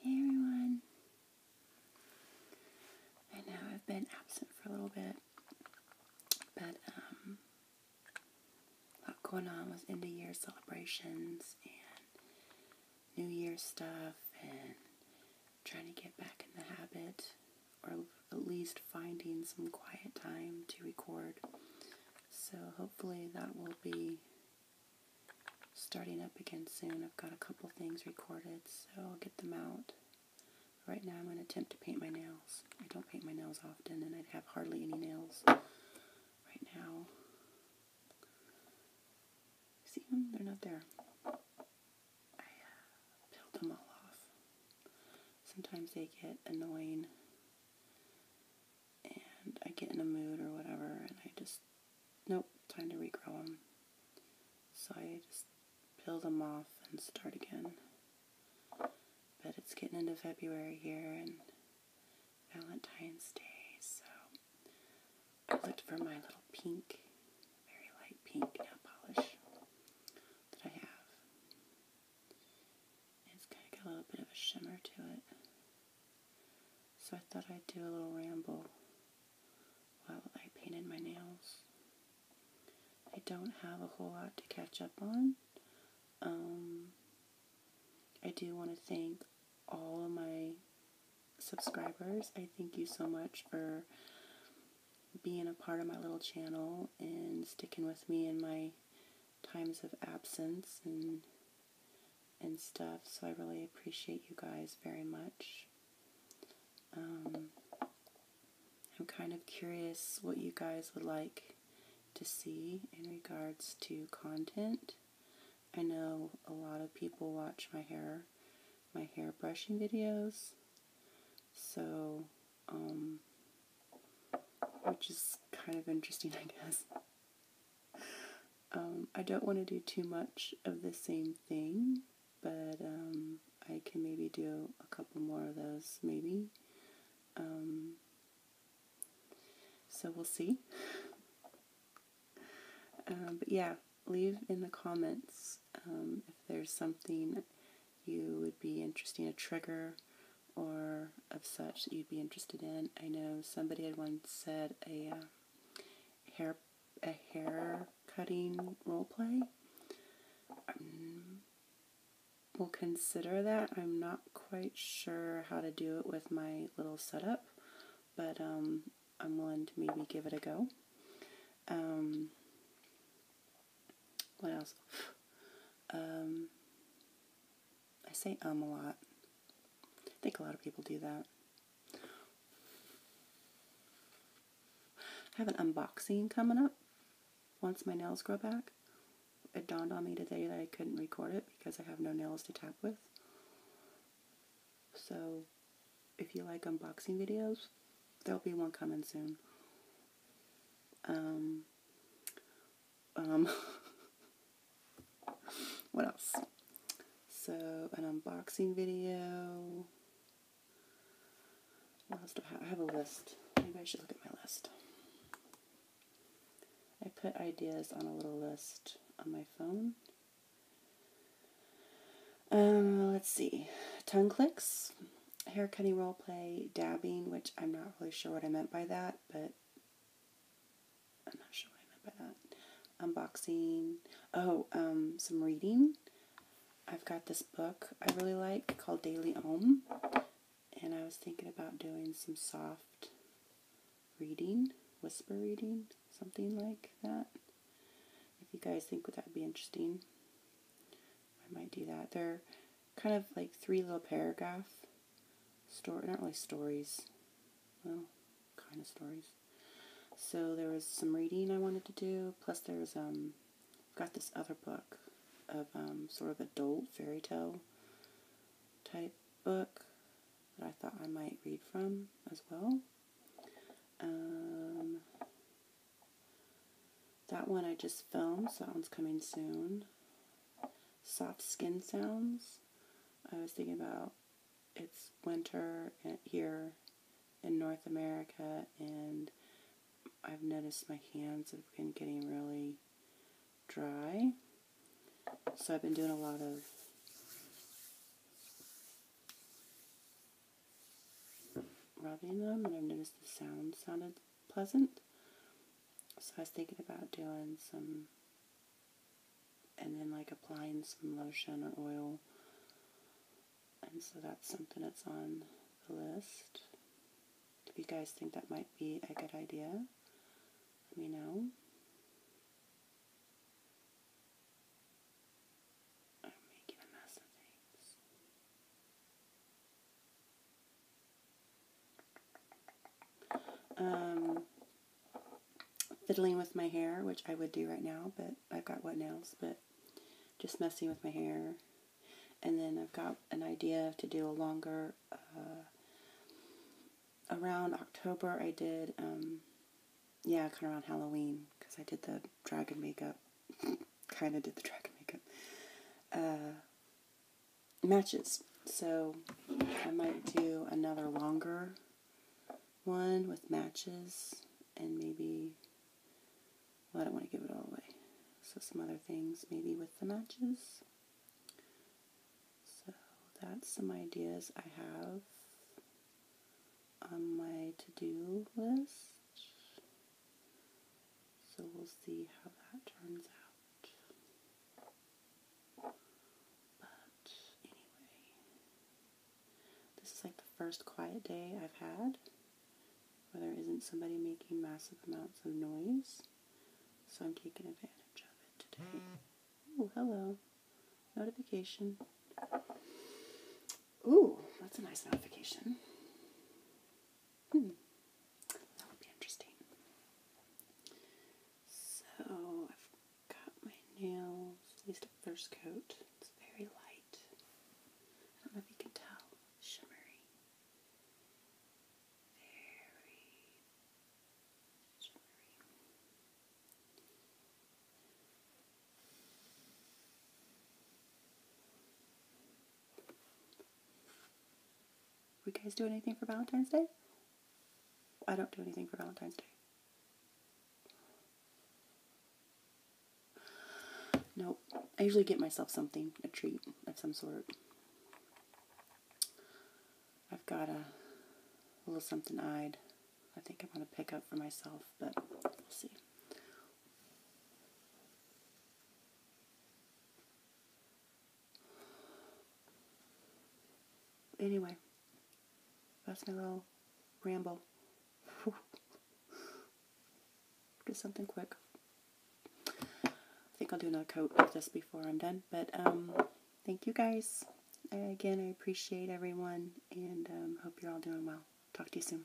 Hey everyone. I know I've been absent for a little bit, but um a lot going on with end of year celebrations and New Year stuff and trying to get back in the habit or at least finding some quiet time to record so hopefully that will be starting up again soon. I've got a couple things recorded, so I'll get them out. Right now I'm going to attempt to paint my nails. I don't paint my nails often, and I have hardly any nails right now. See them? They're not there. I uh, peeled them all off. Sometimes they get annoying and I get in a mood or whatever, and I just, nope, time to regrow them. So I just peel them off and start again. But it's getting into February here and Valentine's Day, so I looked for my little pink, very light pink nail polish that I have. It's kind of got a little bit of a shimmer to it. So I thought I'd do a little ramble while I painted my nails. I don't have a whole lot to catch up on. Um, I do want to thank all of my subscribers. I thank you so much for being a part of my little channel and sticking with me and my times of absence and and stuff. So I really appreciate you guys very much. Um, I'm kind of curious what you guys would like to see in regards to content. I know a lot of people watch my hair, my hair brushing videos. So, um, which is kind of interesting, I guess. Um, I don't want to do too much of the same thing, but um, I can maybe do a couple more of those, maybe. Um, so we'll see. but yeah, leave in the comments if there's something you would be interested in a trigger or of such that you'd be interested in. I know somebody had once said a uh, hair a hair cutting role play. Mm, we'll consider that. I'm not quite sure how to do it with my little setup, but um, I'm willing to maybe give it a go. Um, what else? Um, I say um a lot. I think a lot of people do that. I have an unboxing coming up once my nails grow back. It dawned on me today that I couldn't record it because I have no nails to tap with. So if you like unboxing videos, there'll be one coming soon. Um, um, what else? So, an unboxing video. I have? I have a list. Maybe I should look at my list. I put ideas on a little list on my phone. Um, let's see. Tongue clicks, hair cutting role play, dabbing, which I'm not really sure what I meant by that but I'm not sure what Unboxing. Oh, um, some reading. I've got this book I really like called Daily Om, and I was thinking about doing some soft reading, whisper reading, something like that. If you guys think that would be interesting, I might do that. They're kind of like three little paragraph story, not really stories, well, kind of stories. So there was some reading I wanted to do, plus there's, um, got this other book of, um, sort of adult fairy tale type book that I thought I might read from as well. Um, that one I just filmed, so that one's coming soon. Soft Skin Sounds. I was thinking about it's winter here in North America, and I've noticed my hands have been getting really dry. So I've been doing a lot of rubbing them, and I've noticed the sound sounded pleasant. So I was thinking about doing some, and then like applying some lotion or oil. And so that's something that's on the list. Do you guys think that might be a good idea, let me know. Um, fiddling with my hair, which I would do right now, but I've got what nails, but just messing with my hair. And then I've got an idea to do a longer, uh, around October I did, um, yeah, kind of around Halloween, because I did the dragon makeup, kind of did the dragon makeup. Uh, matches. So I might do another longer one with matches and maybe, well, I don't want to give it all away. So some other things maybe with the matches. So that's some ideas I have on my to-do list. So we'll see how that turns out. But anyway, this is like the first quiet day I've had where there isn't somebody making massive amounts of noise. So I'm taking advantage of it today. Oh, hello. Notification. Ooh, that's a nice notification. Hmm. That would be interesting. So I've got my nails, at least a first coat. It's very light. I don't know if you can tell. Shimmery. Very shimmery. We guys do anything for Valentine's Day? I don't do anything for Valentine's Day. Nope. I usually get myself something, a treat of some sort. I've got a, little something eyed. I think I'm going to pick up for myself, but we'll see. Anyway, that's my little ramble. do something quick. I think I'll do another coat just before I'm done. But um, thank you guys. again, I appreciate everyone and um, hope you're all doing well. Talk to you soon.